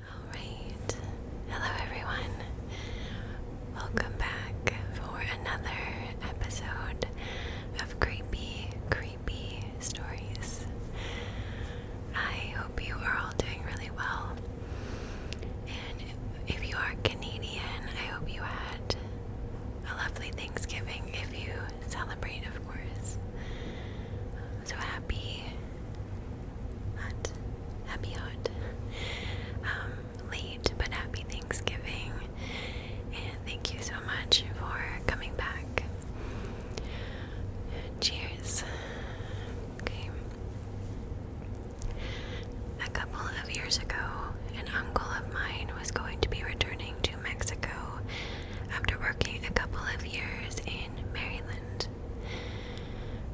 Alright, hello everyone. Welcome back for another episode of Creepy, Creepy Stories. I hope you are all doing really well. And if you are Canadian, I hope you had a lovely Thanksgiving if you celebrate, of course so happy hot happy hot um, late but happy Thanksgiving and thank you so much for coming back. Cheers. Okay. A couple of years ago, an uncle of mine was going to be returning to Mexico after working a couple of years in Maryland.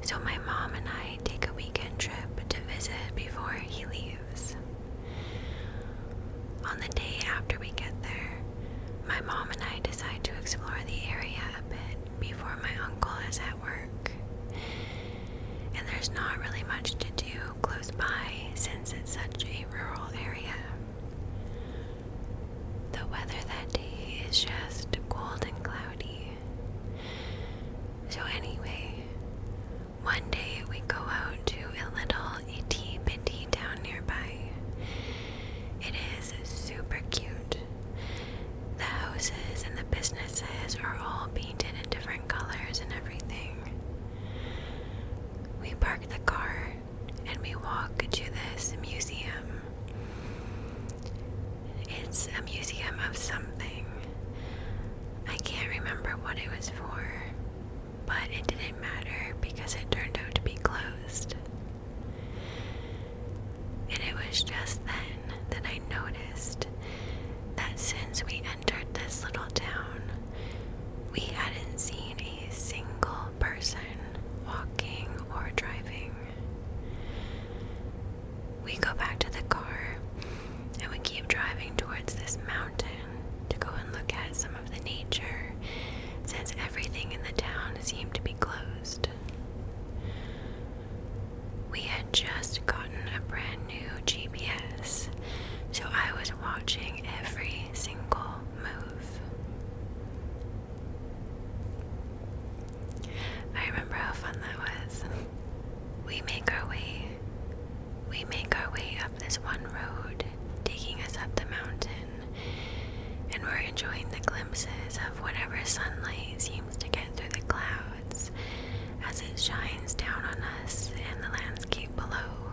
So my mom and I take a weekend trip to visit before he leaves. On the day after we get there, my mom and I decide to explore the area a bit before my uncle is at work. And there's not really much to do close by since it's such a rural area. The weather that day is just cold and cloudy. So, anyway, one day we go out to a little itty bitty town nearby. It is super cute. The houses and the businesses are all painted in different colors and everything. We park the car and we walk to this museum. It's a museum of something. I can't remember what it was for, but it didn't matter because it turned out to be closed. And it was just then that I noticed that since we entered this little town, we hadn't seen a single person walking or driving. We go back to the car and we keep driving towards this mountain to go and look at some of the nature since everything in the town seemed to be closed. We had just gotten a brand new GPS, so I was watching every single move. I remember how fun that was. We make our way. We make our way up this one road, taking us up the mountain, and we're enjoying the glimpses of whatever sunlight seems to get through the clouds as it shines down on us and the landscape below.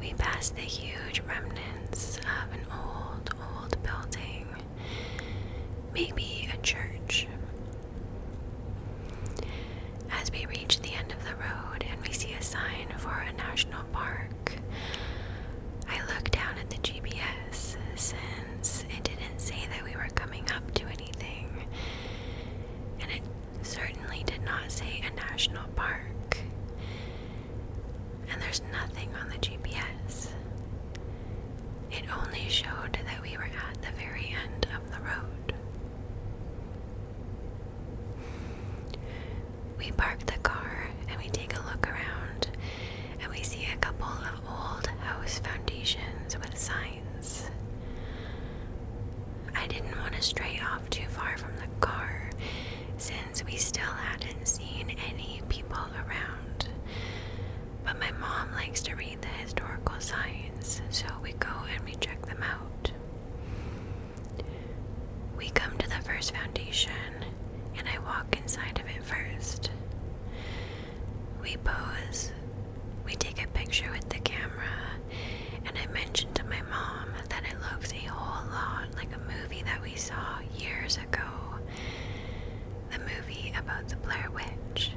We passed the huge remnants of an old, old building, maybe a church. As we reach the end of the road and we see a sign for a national park, I look down at the GPS since it didn't say that we were coming up to anything, and it certainly did not say a national park and there's nothing on the GPS. It only showed that we were at the very end of the road. We park the car and we take a look around and we see a couple of old house foundations with signs. I didn't want to stray off too far from the car since we still hadn't seen any people around. But my mom likes to read the historical signs, so we go and we check them out. We come to the first foundation, and I walk inside of it first. We pose, we take a picture with the camera, and I mentioned to my mom that it looks a whole lot like a movie that we saw years ago the movie about the Blair Witch.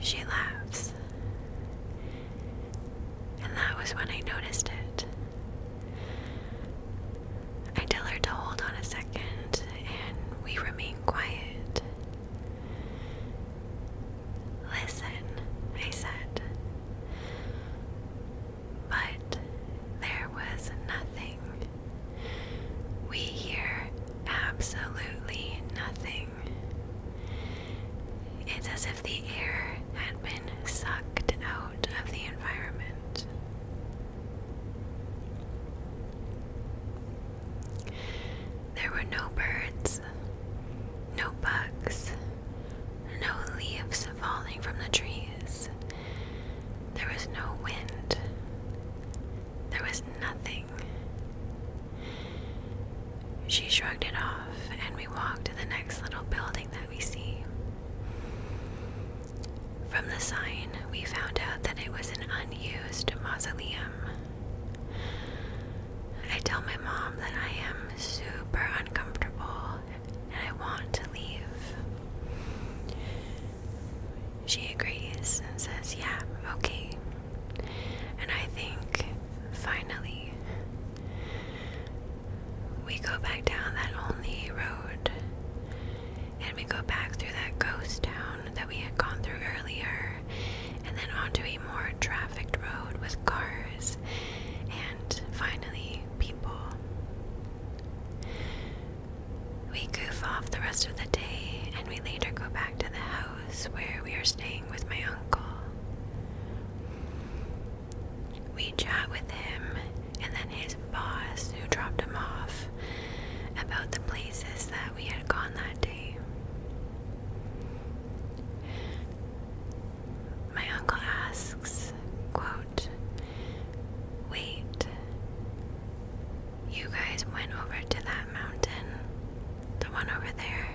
She laughs. And that was when I noticed it. I tell her to hold on a second, and we remain quiet. Listen, I said. But there was nothing. We hear absolutely nothing. It's as if the air had been sucked out of the environment. There were no birds, no bugs, no leaves falling from the trees. There was no wind. There was nothing. She shrugged it off, and we walked to the next little building that we see. From the sign, we found out that it was an unused mausoleum. I tell my mom that I am super uncomfortable and I want to leave. She agrees and says, Yeah, okay. And I think finally we go back down that only road and we go back through that ghost town that we had gone through earlier and then onto a more trafficked road with cars and finally, people. We goof off the rest of the day, and we later go back to the house where we are staying with my uncle. We chat with him and then his boss, who dropped him off, about the places that we had gone that day. My uncle asks, quote, Wait, you guys went over to that mountain, the one over there,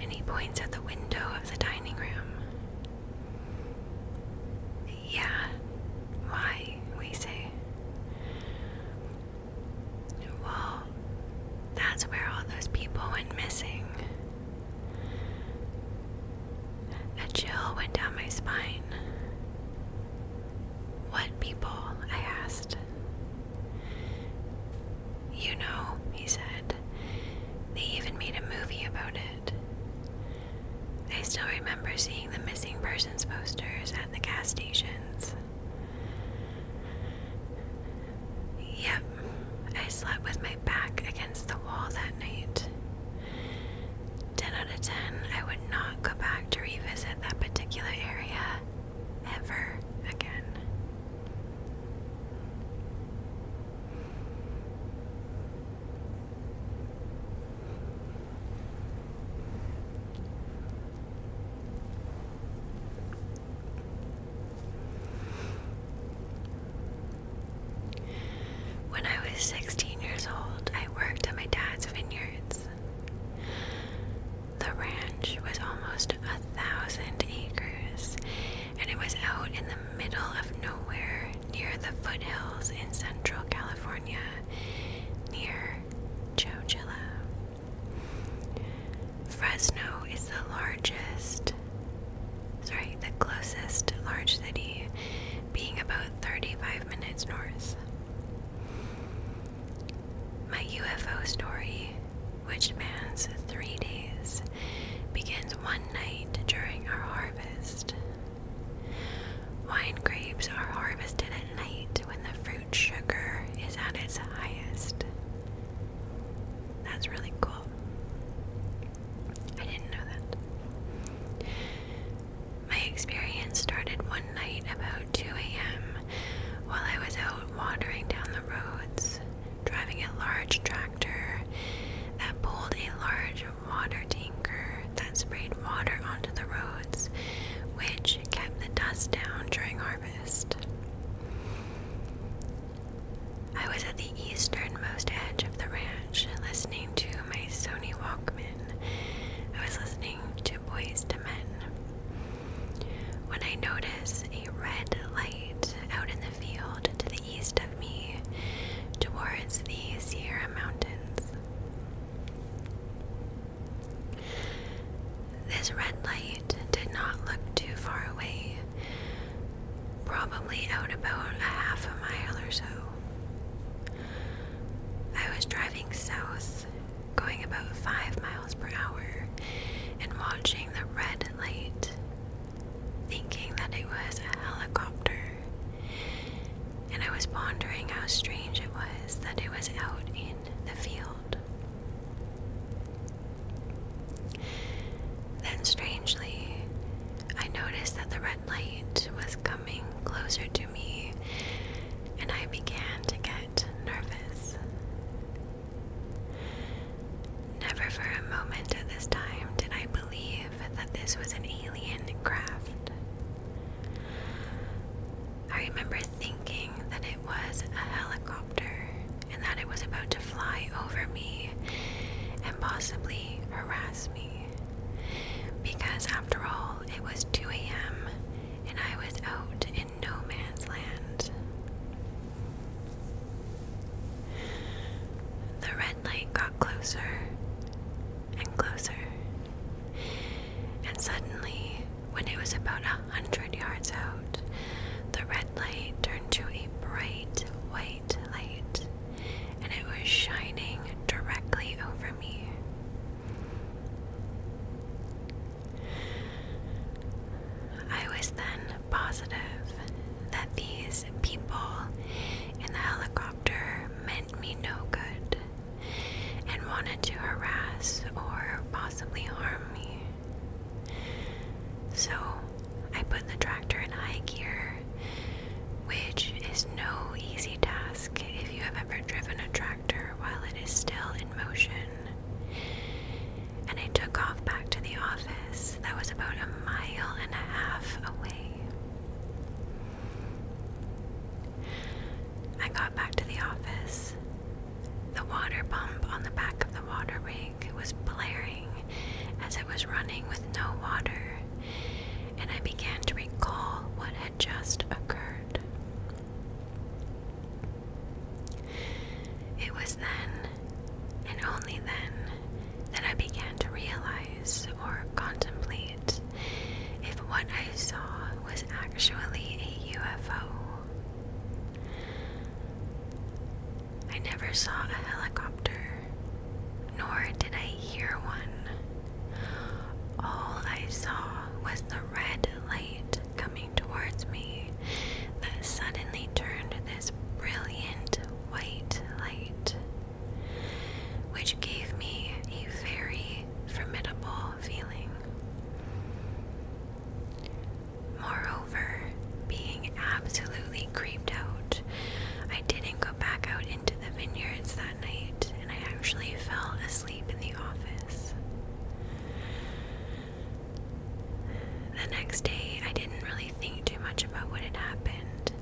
And he points at the window of the dining room. Yeah, why, we say. Well, that's where all those people went missing. A chill went down my spine. What people? I asked. You know, he said. They even made a movie about it. I still remember seeing the missing persons posters at the castations. Yep, I slept with my back against the wall that night. 10 out of 10, I would not go back to revisit that particular area ever again. When I was 16 years old, I worked at my dad's vineyards. The ranch was almost a thousand acres, and it was out in the middle of nowhere near the foothills in central California, near Chowchilla. Fresno is the largest, sorry, the closest large city, being about 35 minutes north. My UFO story, which spans three days, begins one night during our harvest. Wine grapes are harvested at night when the fruit sugar is at its highest. That's really cool. I didn't know that. My experience started one night about 2 a.m. while I was out wandering down the roads, driving a large tractor that pulled a large water tanker that sprayed water onto the roads, which kept the dust down during our I was at the easternmost edge of the ranch, listening to my Sony Walkman. I was listening to Boys to Men. When I noticed a red light out in the field to the east of me, towards the Sierra Mountains. This red light did not look too far away, probably out about a half a mile or so. I was driving south, going about five miles per hour, and watching the red light, thinking that it was a helicopter. And I was pondering how strange it was that it was out in the field. Then, strangely, I noticed that the red light was coming closer to me, and I began to get nervous. Never for a moment at this time did I believe that this was an alien craft. I remember thinking that it was a helicopter and that it was about to fly over me and possibly harass me. Because after all, it was 2 a.m. and I was out in no man's land. The red light got closer and closer. And suddenly, when it was about a hundred yards out, the red light turned to a bright white light, and it was shining directly over me. I was then positive that these people in the helicopter meant me no good and wanted to harass or possibly harm me. So I put the tractor in high gear, which is no easy task if you have ever driven a tractor while it is still in motion. And I took off back to the office that was about a mile and a half away. I got back to the office the water pump on the back of the water rig was blaring as it was running with no water, and I began to recall what had just occurred. It was then, and only then, that I began to realize or contemplate if what I saw was actually a UFO. I never saw a helicopter, nor did I hear one. All I saw was the red light coming towards me that suddenly turned this brilliant white light, which gave me a very formidable feeling. Moreover, being absolutely creeped out, I didn't go back out into the vineyards that night, and I actually fell asleep in the office. The next day, I didn't really think too much about what had happened,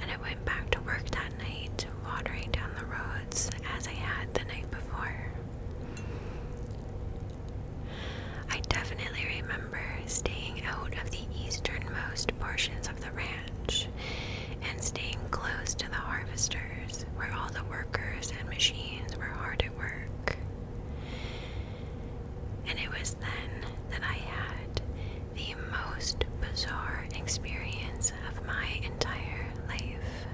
and I went back to work that night, watering down the roads as I had the night before. I definitely remember staying out of the easternmost portions of the ranch and staying close to the harvesters where all the workers and machines were hard at work. And it was then that I had the most bizarre experience of my entire life.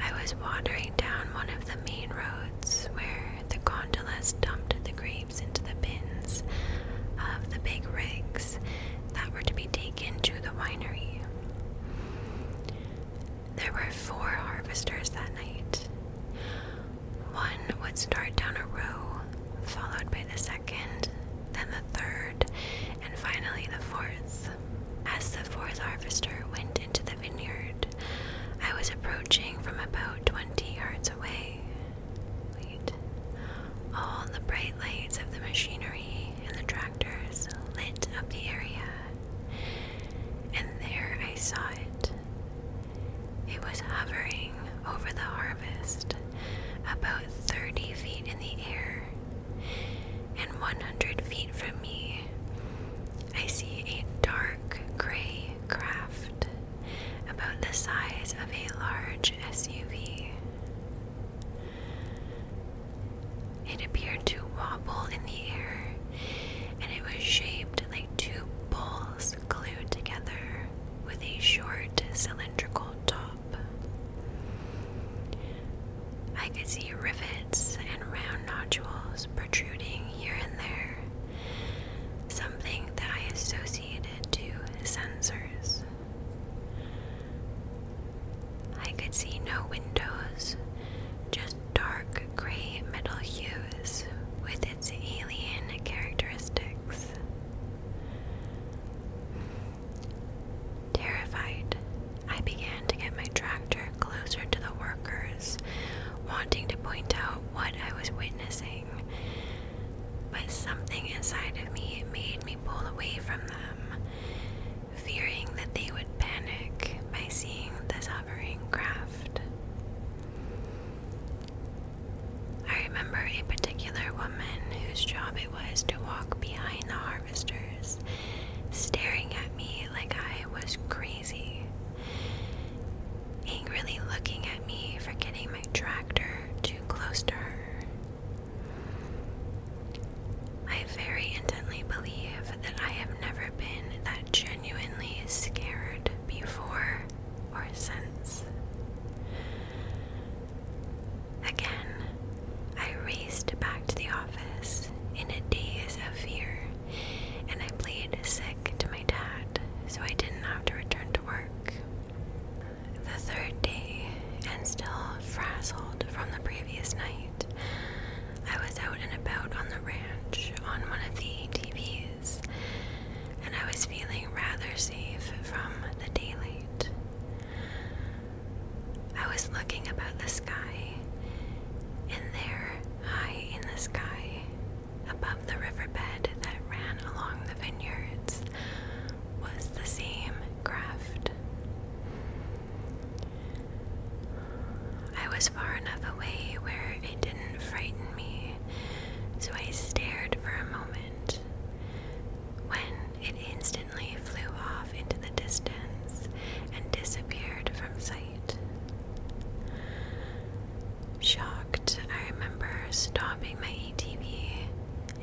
I was wandering down one of the main roads where the gondolas dumped the grapes into the bins of the big rigs that were to be taken to the winery. There were four harvesters that night. One would start down a row, followed by the second, then the third, and finally the fourth. As the fourth harvester went into the vineyard, I was approaching from about twenty yards away. All the bright lights of the machinery and the tractors lit up the area, and there I saw it. It was hovering over the harvest, about 30 feet in the air and 100 feet from me, I see a dark gray craft about the size of a large SUV. It appeared to wobble in the air, and it was shaped like two poles glued together with a short cylindrical top. I could see rivets and round nodules protruding here and there, something that I associated to sensors. I could see no windows, just dark gray metal hues with its alien characteristics. Terrified, I began to get my tractor closer to the workers, wanting to point out what I was witnessing. But something inside of me made me pull away from them, fearing that they would panic by seeing this hovering craft. I remember a particular woman whose job it was to walk behind the harm staring at me like I was crazy, angrily looking at me for my tractor too close to her. I very intently believe that I have never been that genuinely scared before or since. Again, I raced back to the office in a daze of fear, and I played sick to my dad so I didn't have to return to work. The third day, and still frazzled from the previous night, I was out and about on the ranch on one of the ATVs, and I was feeling rather safe from the daylight. I was looking about the sky, and there, high in the sky, above the riverbed that ran along the vineyards, was the same craft. I was far enough away where it didn't frighten me, so I stared for a moment. When it instantly flew off into the distance and disappeared from sight. Shocked, I remember stopping my ATV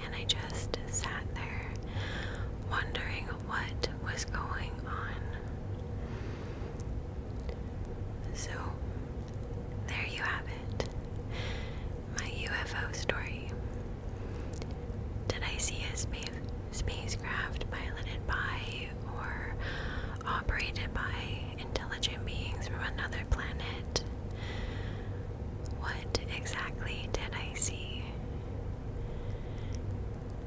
and I just sat there wondering what was going on. So, there you have it my UFO story. Did I see a space? spacecraft piloted by or operated by intelligent beings from another planet. What exactly did I see?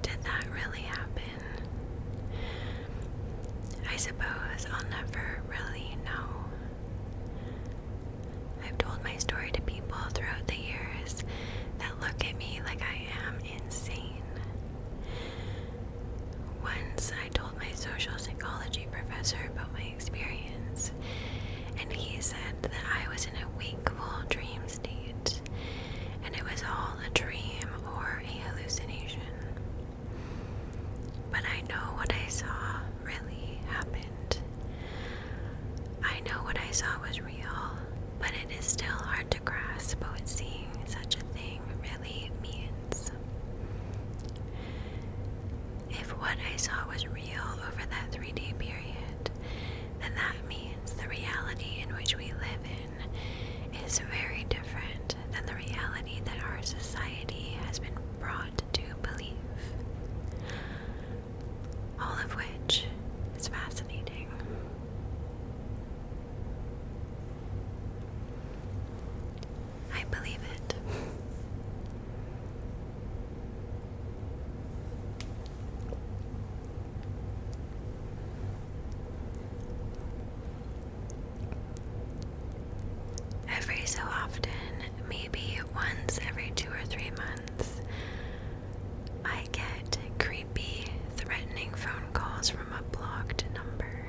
Did that really happen? I suppose I'll never really know. I've told my story to people throughout the years that look at me like I am insane. Once I told my social psychology professor about my experience, and he said that I was in a wakeful dream state, and it was all a dream or a hallucination. But I know what I saw really happened. I know what I saw was real, but it is still hard to grasp what seeing such a thing really means. If what I saw was real over that three day period, then that means the reality in which we live in is very different than the reality that our society has been brought to believe all of which is fascinating. I believe it. Every so often, maybe once every two or three months. I get creepy, threatening phone calls from a blocked number.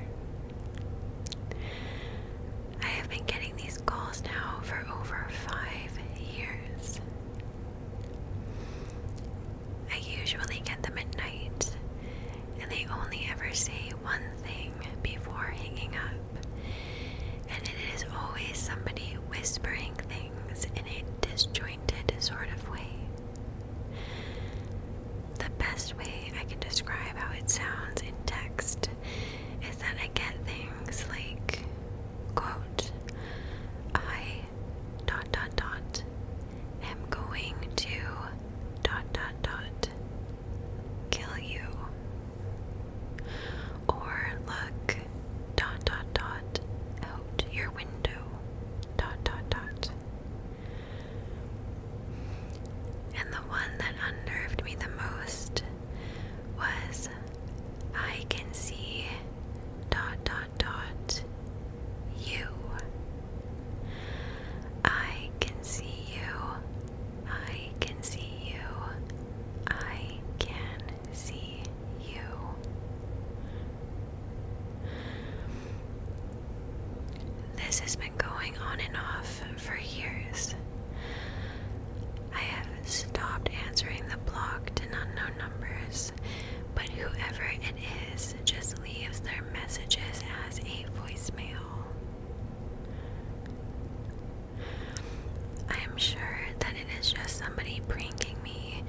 I have been getting these calls now for over five years. I usually get them at night, and they only ever say one thing before hanging up, and it is always somebody whispering things in a disjointed sort of way. The best way I can describe how it sounds in text is that I get things like, quote, I dot dot dot am going to dot dot dot kill you. Or look, dot dot dot out your window dot dot dot and the one that unnerved me the most was I can see dot dot dot you I can see you I can see you I can see you. This has been going on and off for years. I have stopped answering the block to unknown numbers, but whoever it is just leaves their messages as a voicemail. I am sure that it is just somebody pranking me,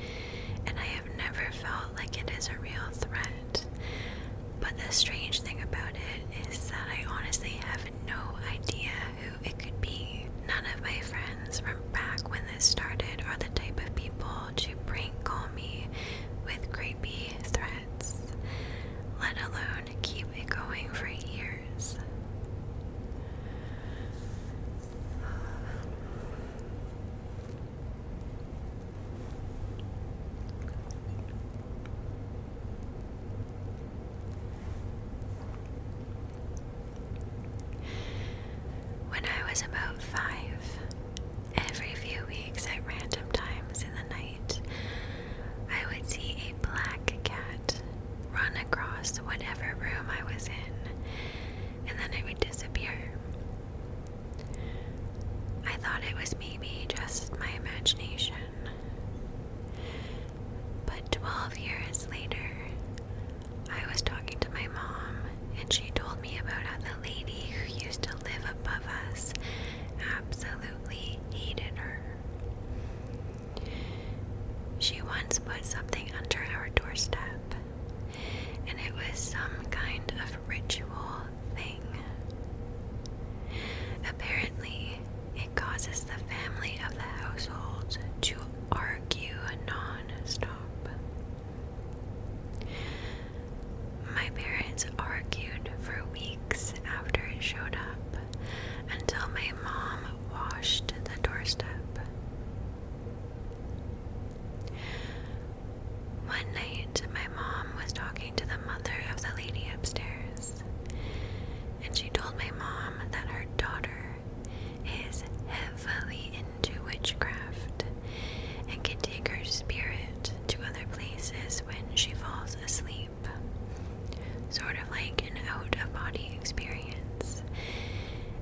and I have never felt like it is a real threat. But the strange thing about it is that I honestly have no idea who it could be. None of my friends from back when this started are the type of people to prank call me with creepy threats, let alone keep it going for years when I was about five, every few weeks at random times in the night, I would see a black cat run across whatever room I was in, and then it would disappear. I thought it was maybe just my imagination. But 12 years later, I was talking to my mom, and she told me about how the lady who used to live above us absolutely hated her. She once put something under our doorstep, and it was some kind of ritual thing. Apparently, it causes the family of the household to argue non stop. My parents argued for weeks after it showed up until my mom washed the doorstep. One night, my mom was talking to the mother of the lady upstairs, and she told my mom that her daughter is heavily into witchcraft and can take her spirit to other places when she falls asleep sort of like an out of body experience,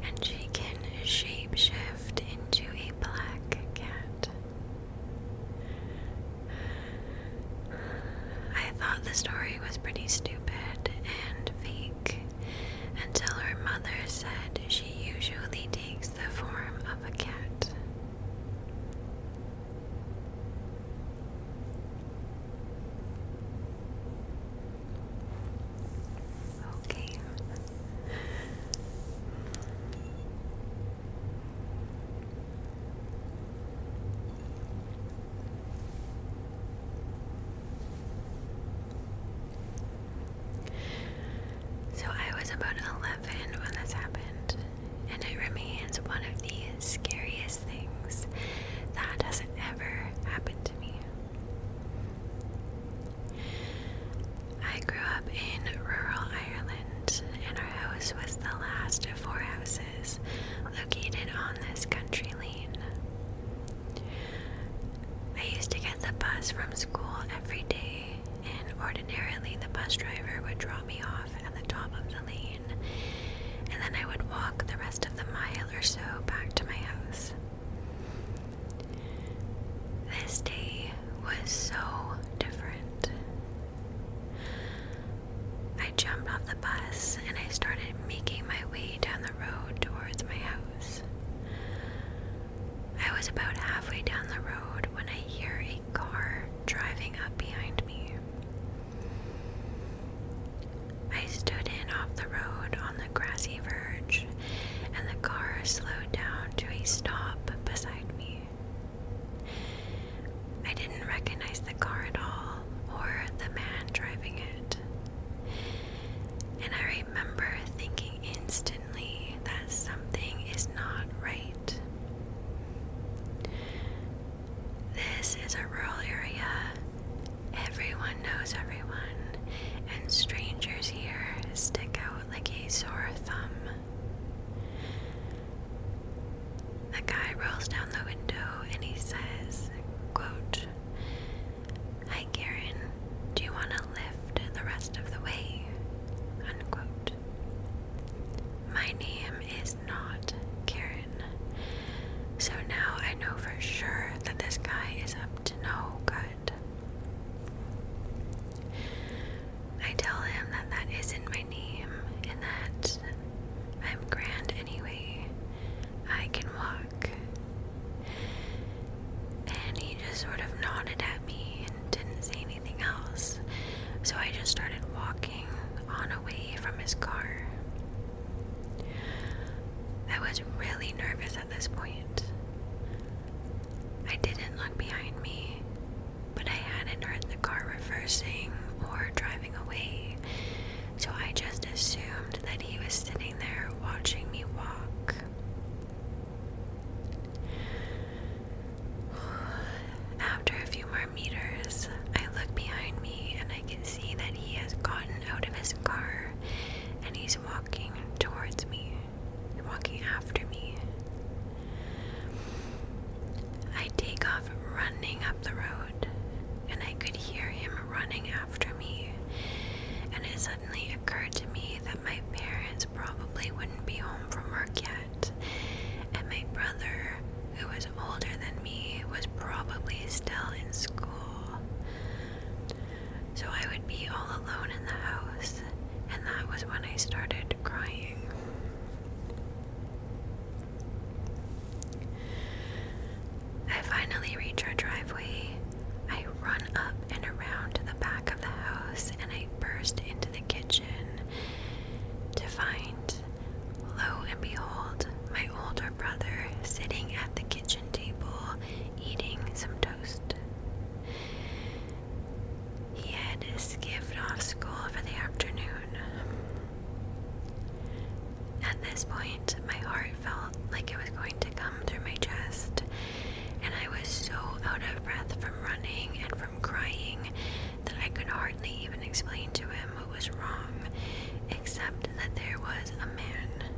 and she can shape-shift into a black cat. I thought the story was pretty stupid and fake until her mother said she usually takes the form of a cat. Okay. So I was about 11 when this happened, and it remains one of the scariest things that has ever happened I grew up in rural Ireland, and our house was the last of four houses located on this country lane. I used to get the bus from school every day, and ordinarily the bus driver would drop me off at the top of the lane and then I would walk the rest of the mile or so back to my house. This day was so different. I jumped off the bus and I started making my way down the road towards my house. I was about halfway down the road when I hear a car driving up behind me. I stood in off the road on the grassy verge, and the car slowed down to a stop beside me. I didn't recognize the car at all, or the man driving it. And I remember thinking instantly that something is not right. This is a rural area, Everyone knows everyone, and strangers here stick out like a sore thumb. The guy rolls down the window and he says, Hi Karen, do you want to lift the rest of the way? My name is not Karen. So now I know for sure that this guy is up to no good. I tell him that that isn't my name and that I'm grand anyway. I can walk. And he just sort of nodded at me and didn't say anything else. So I just started walking on away from his car. I was really nervous at this point. I didn't look behind me, but I hadn't heard the car reversing or driving away, so I just assumed that he was sitting there watching me walk. After a few more meters, I look behind me and I can see that he has gotten out of his car and he's walking towards me, walking after me. I take off running up the road and I could hear him running after me. And it suddenly occurred to me that my parents probably wouldn't be home from work yet, and my brother, who older than me was probably still in school. So I would be all alone in the house, and that was when I started crying. I finally reach our driveway. I run up and around to the back of the house and I burst into the kitchen to find lo and behold, my older brother sitting at the kitchen table eating some toast. He had skipped off school for the afternoon. At this point, my heart felt like it was going to come through my chest, and I was so out of breath from running and from crying that I could hardly even explain to him was wrong, except that there was a man.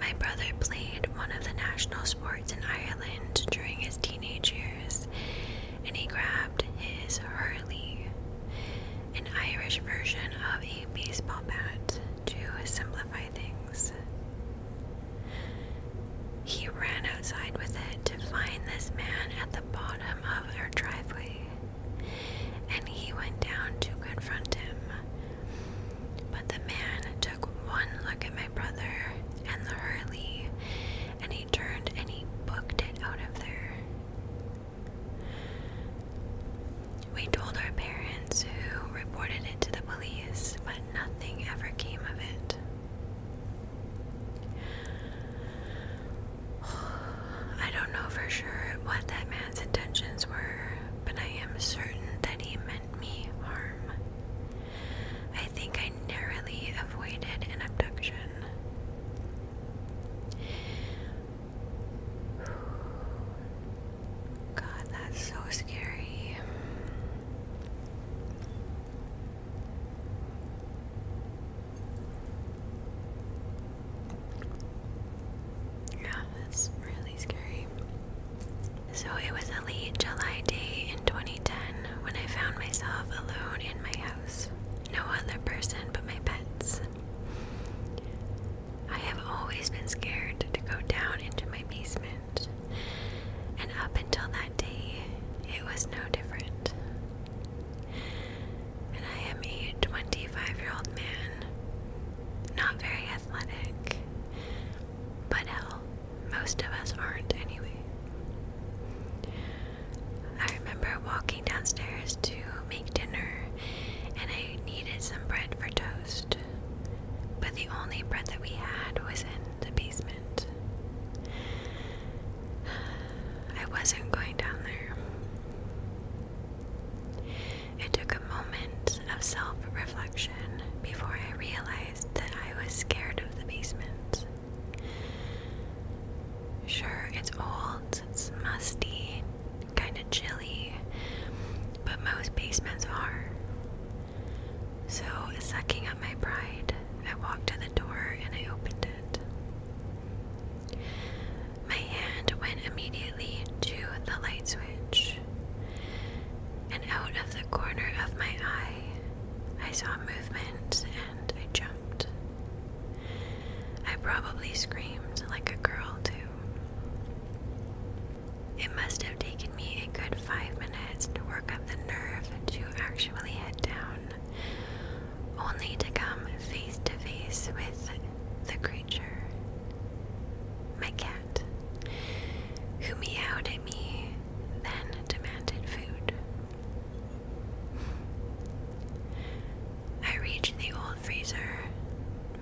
My brother played one of the national sports in Ireland during his teenage years, and he grabbed his Hurley, an Irish version of a baseball bat, to simplify things. He ran outside with it to find this man at the bottom of our driveway and he went down to confront him. But the man took one look at my brother and the Hurley, and he turned and he booked it out of there. We told our parents, who reported it to the police, but nothing ever came of it. I don't know for sure what that man's intentions were, but I am certain that he meant me harm. I think I narrowly avoided an abduction. God, that's so scary. Yeah, that's really scary. So it was a late July day in 2010 when I found myself alone in my house. No other person but my pets. I have always been scared to go down into my basement, and up until that day, it was no different and I am a 25 year old man, not very athletic, but hell, most of us aren't anyway. I remember walking downstairs to make dinner, and I needed some bread for toast, but the only bread that we had was in the basement. I wasn't going down there. It took a moment of self reflection before I realized that I was scared of the basement. Sure, it's old, it's musty, kind of chilly, but most basements are. So, sucking up my pride, I walked to the door and I opened it. My hand went immediately to the light switch, and out of the corner of my eye, I saw movement and I jumped. I probably screamed like a girl, too. It must have taken me a good five minutes to work up the nerve to actually head down only to come face to face with the creature, my cat, who meowed at me, then demanded food. I reached the old freezer,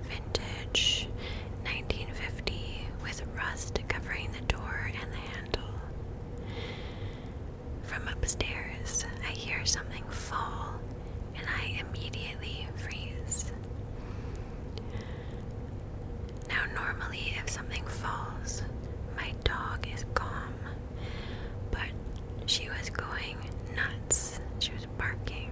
vintage 1950, with rust covering the door and the handle. From upstairs, I hear something fall and I immediately freeze. Now, normally, if something falls, my dog is calm, but she was going nuts. She was barking.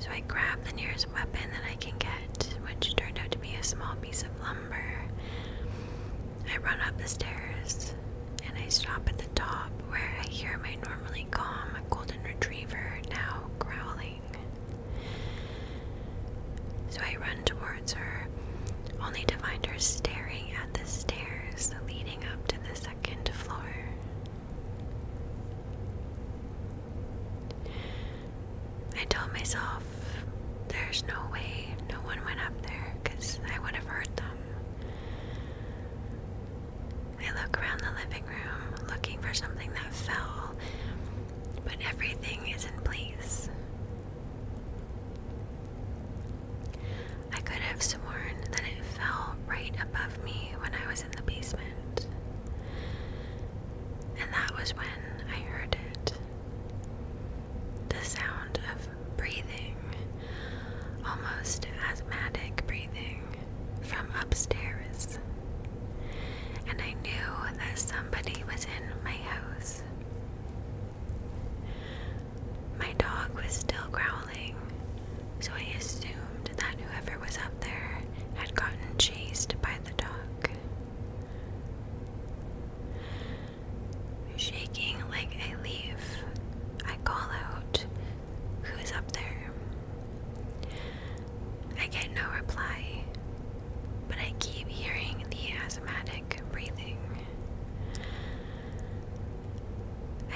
So I grab the nearest weapon that I can get, which turned out to be a small piece of lumber. I run up the stairs and I stop at the top where I hear my normally calm golden retriever now growling. So I run towards her, only to find her staring at the stairs leading up to the second floor. I told myself there's no way no one went up there because I would have heard them. I look around the living room looking for something that fell, but everything is in place. I could have sworn that it fell right above me when I was in the basement. And that was when I heard it the sound of breathing, almost asthmatic breathing, from upstairs. And I knew that somebody was in my house. My dog was still growling, so I assumed that whoever was up there had gotten chased by the dog. Shaking like a leaf, I call out, Who's up there? I get no reply, but I keep hearing the asthmatic breathing.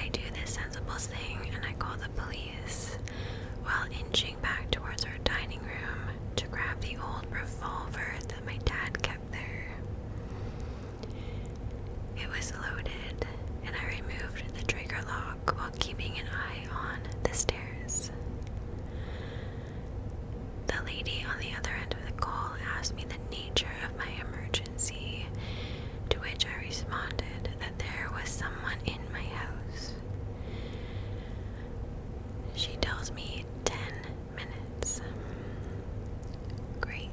I do this sensible thing and I call the police while inching back towards our dining room to grab the old revolver my dad kept there. It was loaded, and I removed the trigger lock while keeping an eye on the stairs. The lady on the other end of the call asked me the nature of my emergency, to which I responded that there was someone in my house. She tells me 10 minutes. Great.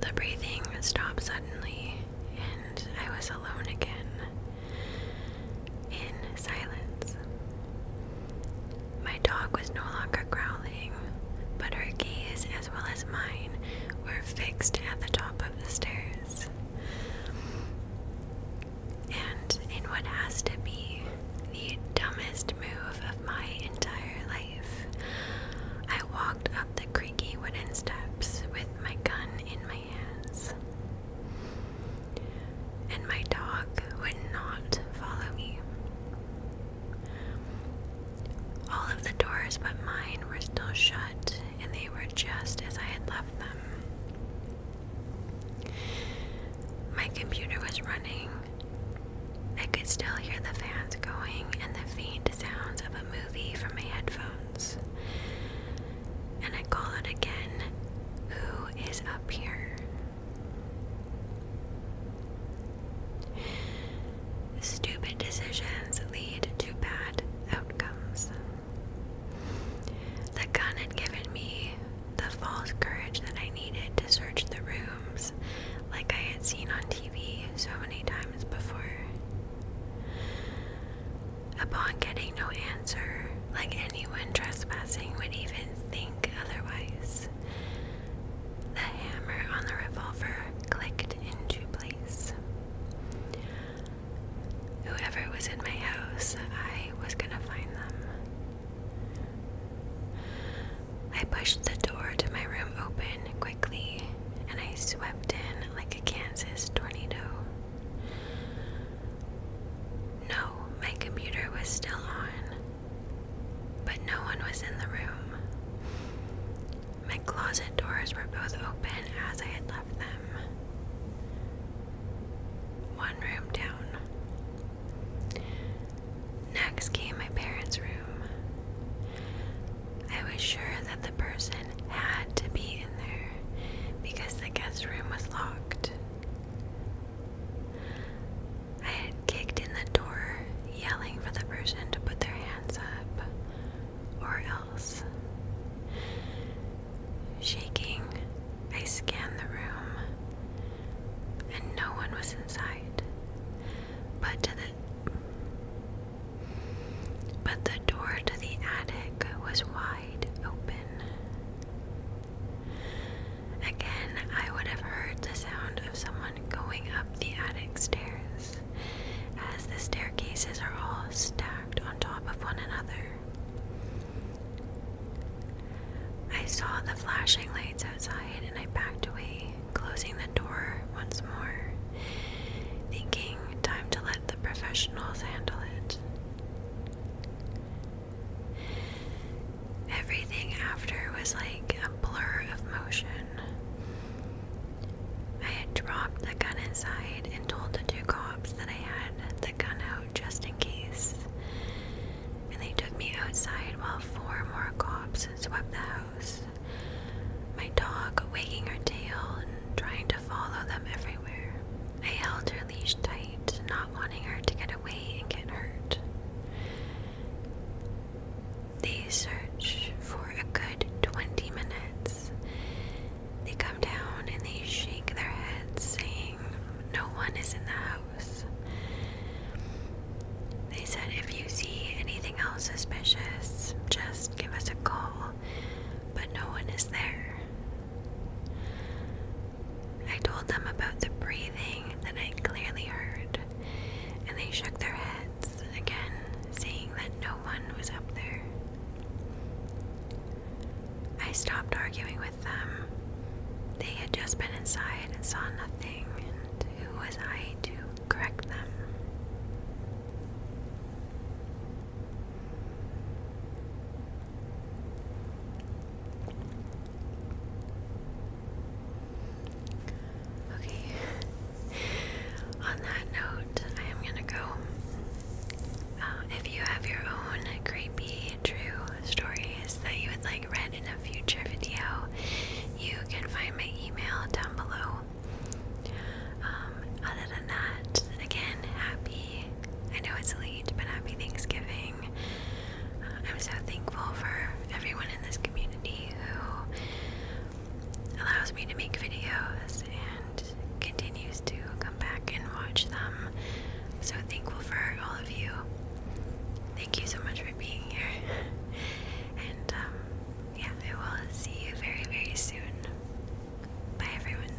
The breathing stopped suddenly, and I was alone again in silence. My dog was no longer growling, but her gaze as well as mine were fixed at the top of the stairs. And in what has to be the dumbest move of my entire life, I walked up the creaky wooden steps with my gun in my hands. And my dog would not follow me. All of the doors but mine were still shut, and they were just as I had left them. My computer was running. I could still hear the fans going and the faint sounds of a movie from my headphones. And I call out again Who is up here? Stupid decisions lead to bad outcomes. The gun had given me the false courage that I needed to search the rooms like I had seen on TV so many times before. Upon getting no answer, like anyone trespassing would even think otherwise, the hammer on the revolver clicked into place. Whoever was in my house, I was gonna find them. I pushed the door to my room open quickly and I swept in like a Kansas tornado. No, my computer was still on, but no one was in the room. My closet doors were both open as I had left them. One room down. Next came my parents' room. I was sure that the person had to be in there because the guest room was locked. I had kicked in the door, yelling for the person to put their hands up, or else. Shaking, I scanned the room, and no one was inside. But the but the door to the attic was wide open. Again, I would have heard the sound of someone going up the attic stairs, as the staircases are all stacked on top of one another. I saw the flashing lights outside and I backed away, closing the door once more, thinking time to let the professionals handle it everything after was like a blur of motion. I had dropped the gun inside and told the two cops that I had the gun out just in case. And they took me outside while four more cops swept the house. My dog wagging her tail and trying to follow them everywhere. I held her leash tight, not wanting her to get away and get hurt. They search for a good 20 minutes. They come down and they shake their heads, saying, No one is in the house. They said, If you see anything else suspicious, just give us a call, but no one is there. I told them about the breathing that I clearly heard and they shook their heads again, saying that no one was up there. I stopped arguing with them. They had just been inside and saw nothing, and who was I to correct them? Okay. On that note, I am gonna go. Uh, if you have your own creepy true stories that you would like read in a future video, you can find my email down below. Um, other than that, again, happy. I know it's late, but happy Thanksgiving. I'm so thankful for everyone in this community who allows me to make videos and continues to come back and watch them. So thankful for all of you. Thank you so much for being here. and um, yeah, I will see you very, very soon. Bye, everyone.